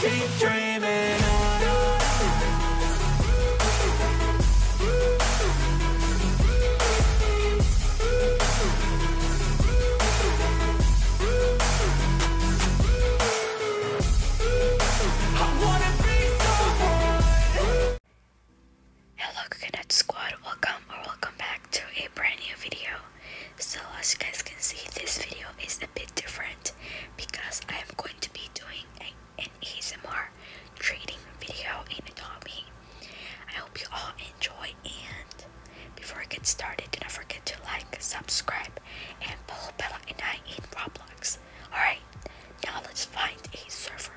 keep dreaming. Hello, Cadet Squad. Welcome or welcome back to a brand new video so as you guys can see this video is a bit different because I am going to be doing an ASMR trading video in Adobe. I hope you all enjoy and before I get started do not forget to like, subscribe and follow Bella and I in Roblox. Alright, now let's find a server.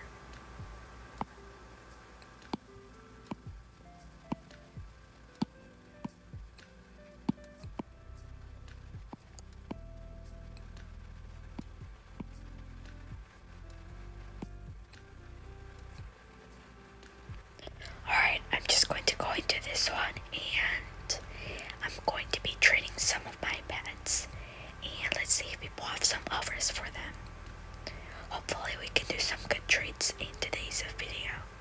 Alright, I'm just going to go into this one and I'm going to be training some of my pets. And let's see if people have some offers for them. Hopefully, we can do some good treats in today's video.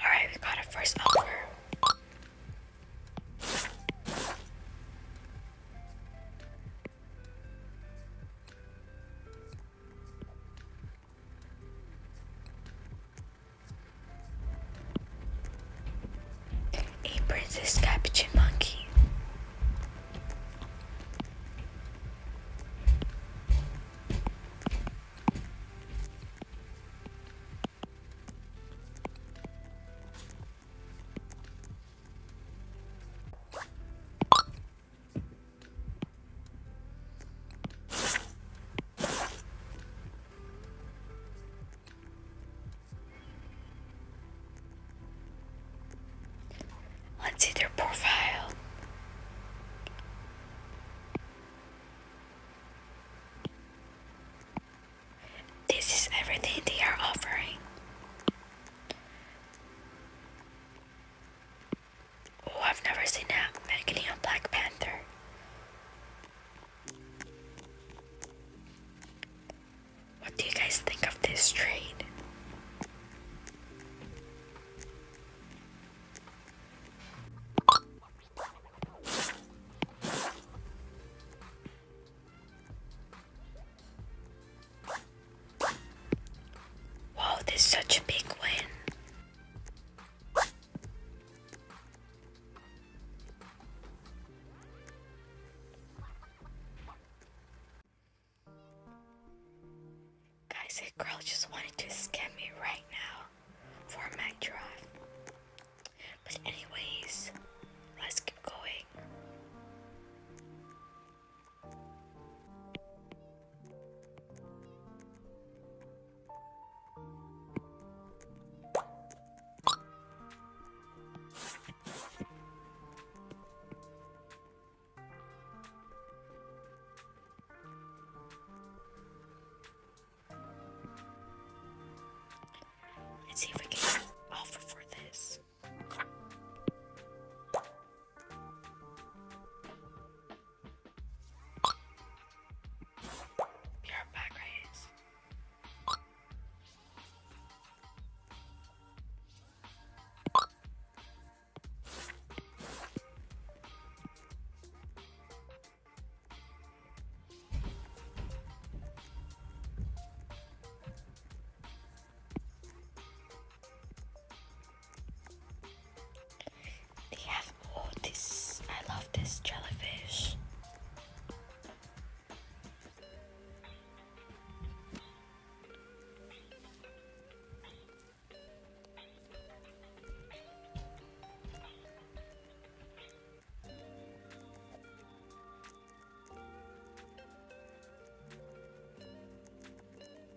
Alright, we got a first offer. A princess capuchin monkey. Let's see their profile. This is everything they are offering. Oh, I've never seen a Megany Black Panther. What do you guys think of this trade? Wow, this is such a big win. Guys, that girl just wanted to scam me right now for a my drive. But anyways, let's keep going. Let's see if we can offer for this. Be right back, guys. They have all this. I love this jellyfish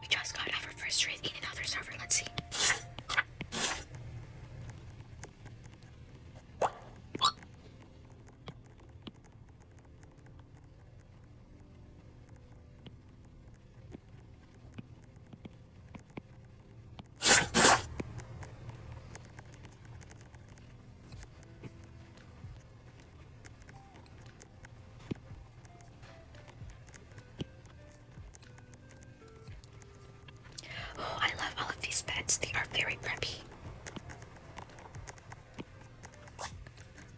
We just got our first raid in another server. Let's see. Oh, I love all of these beds. They are very pretty.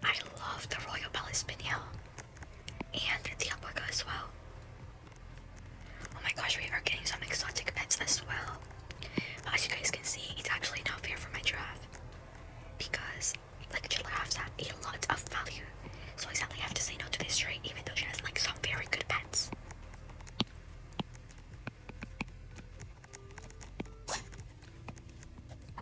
I love the Royal Palace Pignol and the alpaca well. Oh my gosh, we are getting some exotic pets as well. As you guys can see, it's actually not fair for my giraffe because like giraffes have a lot of value. So I sadly have to say no to this tree, even though she has like some very good pets.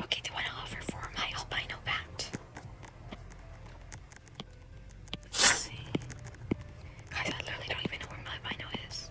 Okay, do I want to offer for my albino bat. Guys, I literally don't even know where my albino is.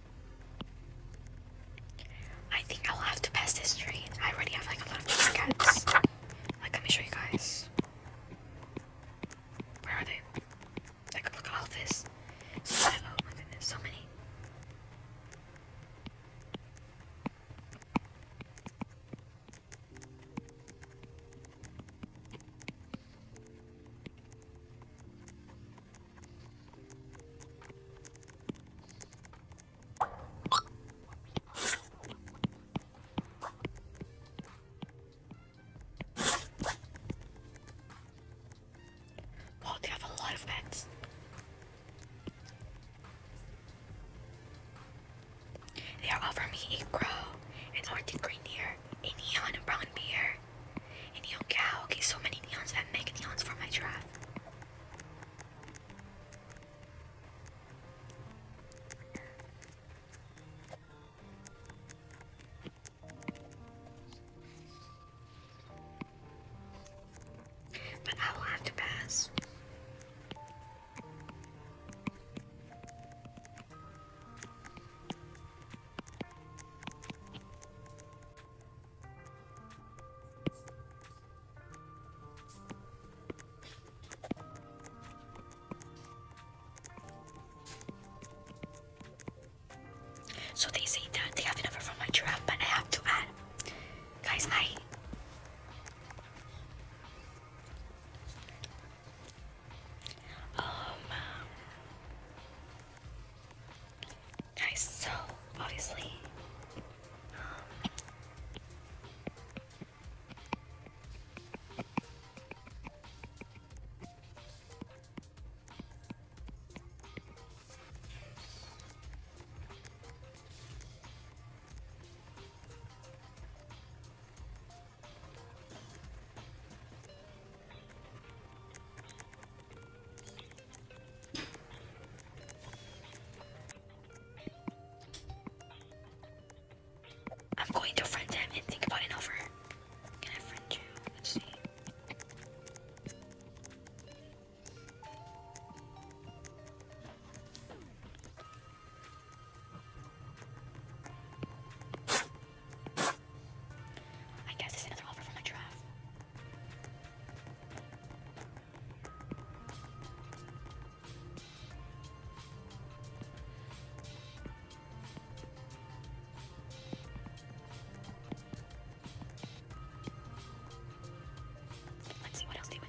I think I'll have to pass this train. I already have like a lot of shortcuts. Like let me show you guys. Where are they? Like look at all this. oh my goodness, so many. Well, they have a lot of pets. They are offering me a crow, an Arctic reindeer, a neon brown bear, neon cow. Okay, so many neons and make neons for my draft. But I will have to pass. So they say that they have enough from my giraffe, but I have to add, guys. I um, guys, so obviously, um, I'm going to friend him and think about an offer. Can I friend you? Let's see. I guess it's another offer from my giraffe. Let's see what else they would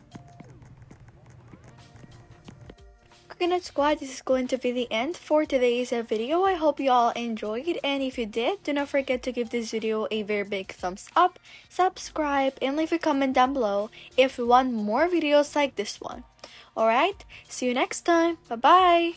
Coconut Squad, this is going to be the end for today's video. I hope you all enjoyed and if you did, do not forget to give this video a very big thumbs up, subscribe, and leave a comment down below if you want more videos like this one. Alright, see you next time. Bye-bye!